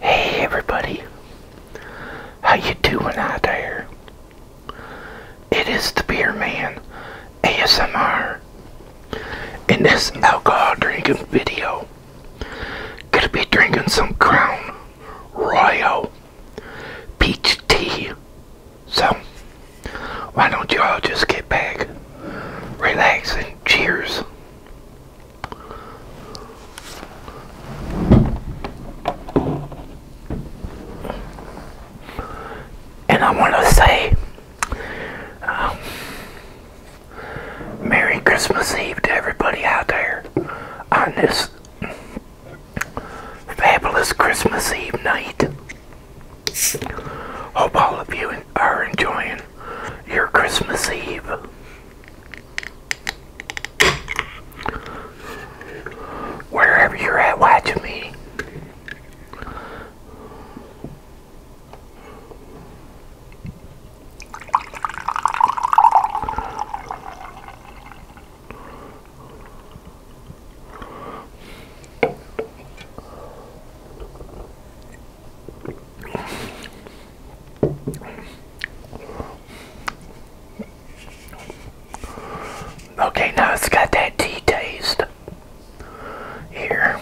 Hey everybody, how you doing out there? It is the Beer Man ASMR. In this alcohol drinking video, gonna be drinking some Crown Royal peach tea. So, why don't you all just get back, relax, and cheers. And I want to say um, Merry Christmas Eve to everybody out there on this fabulous Christmas Eve night. Hope all of you are enjoying your Christmas Eve. Wherever you're at watch me. Okay, now it's got that tea taste here.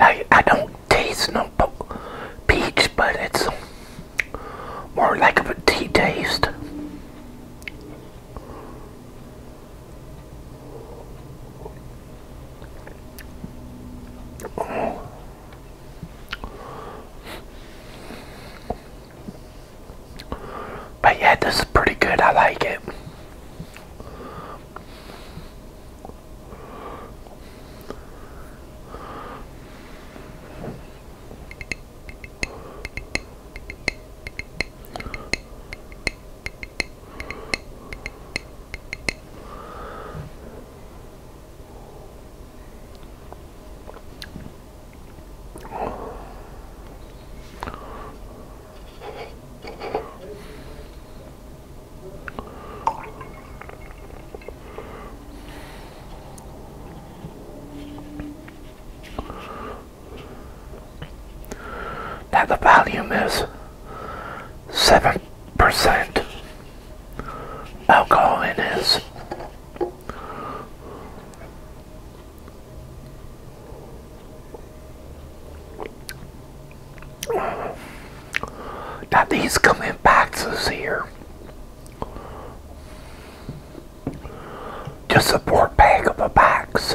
I, I don't taste no peach, but it's more like a tea taste. But yeah, this is pretty good. I like it. Now the volume is 7% alcohol in his. That these come in boxes here. Just a poor bag of a box.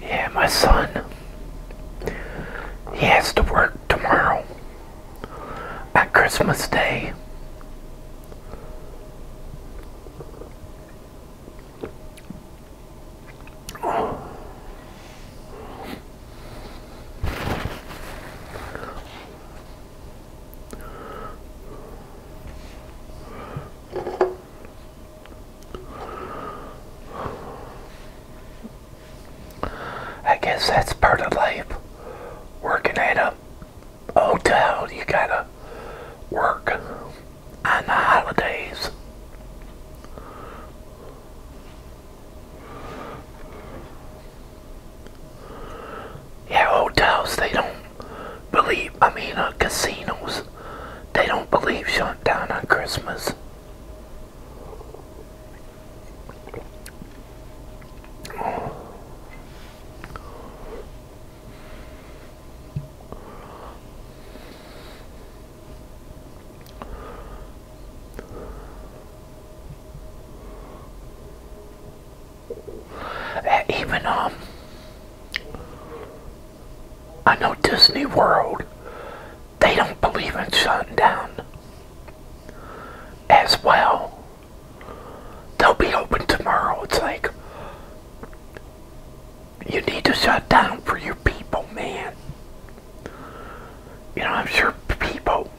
Yeah, my son. He has to work tomorrow at Christmas Day. I guess that's part of life. Working at a hotel, you gotta work on the holidays. Yeah, hotels, they don't believe, I mean, uh, casinos, they don't believe shut down on Christmas even um I know Disney World they don't believe in shutting down as well they'll be open tomorrow it's like you need to shut down for your people man you know I'm sure people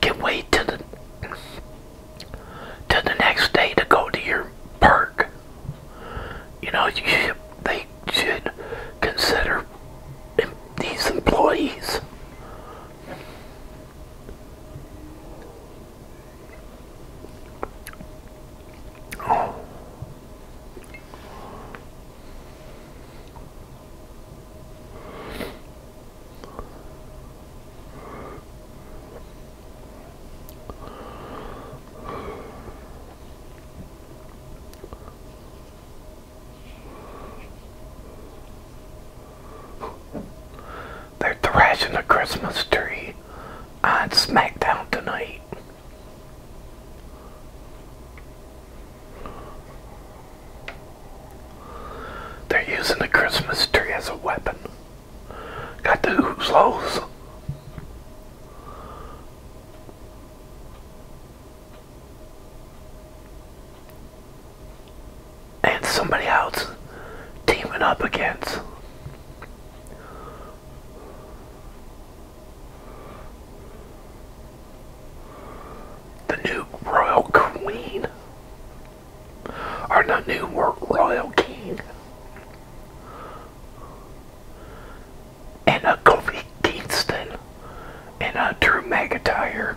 can wait to the to the next day to go to your park. You know, you they should consider these employees. They're thrashing the Christmas tree on SmackDown tonight. They're using the Christmas tree as a weapon. Got the hoozles. And somebody else teaming up against the new royal queen, or the new royal king, and a Kofi Kingston, and a Drew McIntyre.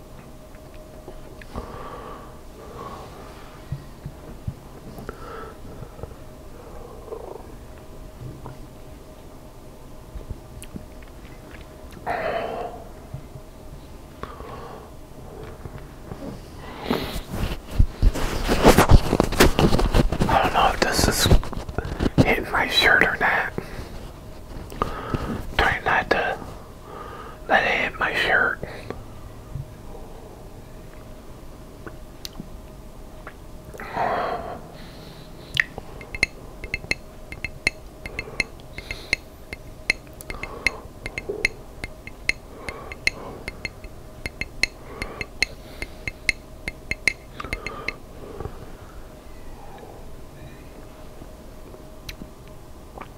I don't know if this is hitting my shirt or not. Trying not that had my shirt.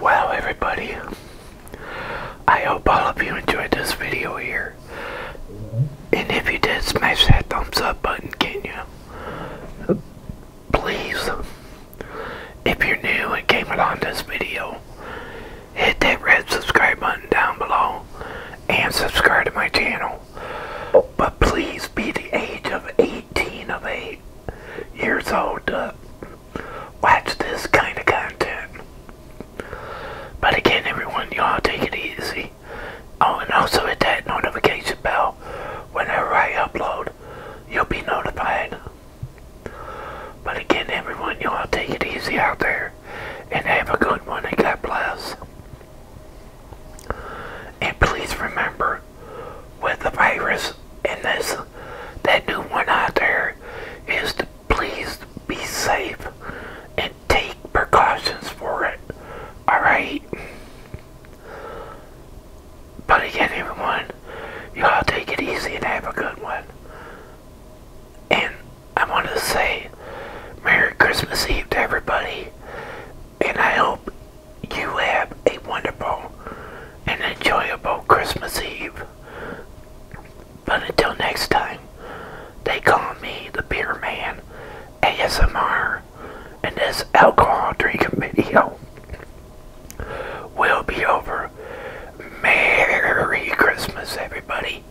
Wow, everybody, I hope all of you enjoyed this video here. And if you did, smash that thumbs up button, can you? Please. If you're new and came along this video, hit that red subscribe button down below and subscribe to my channel. Oh, but please be the age of 18 of eight years old to watch this kind of content. But again, everyone, y'all take it easy. Oh, and also hit that notification bell. Whenever I upload, you'll be notified. But again, everyone, y'all take it easy out there. And have a good one, and God bless. And please remember, with the virus and this, that new one out there, is to please be safe and take precautions for it. Alright? But again, everyone, y'all take it easy and have a good one. And I want to say Merry Christmas Eve to everybody. And I hope you have a wonderful and enjoyable Christmas Eve. But until next time, they call me the Beer Man ASMR, and this alcohol drinking video will be over. Merry Christmas, everybody.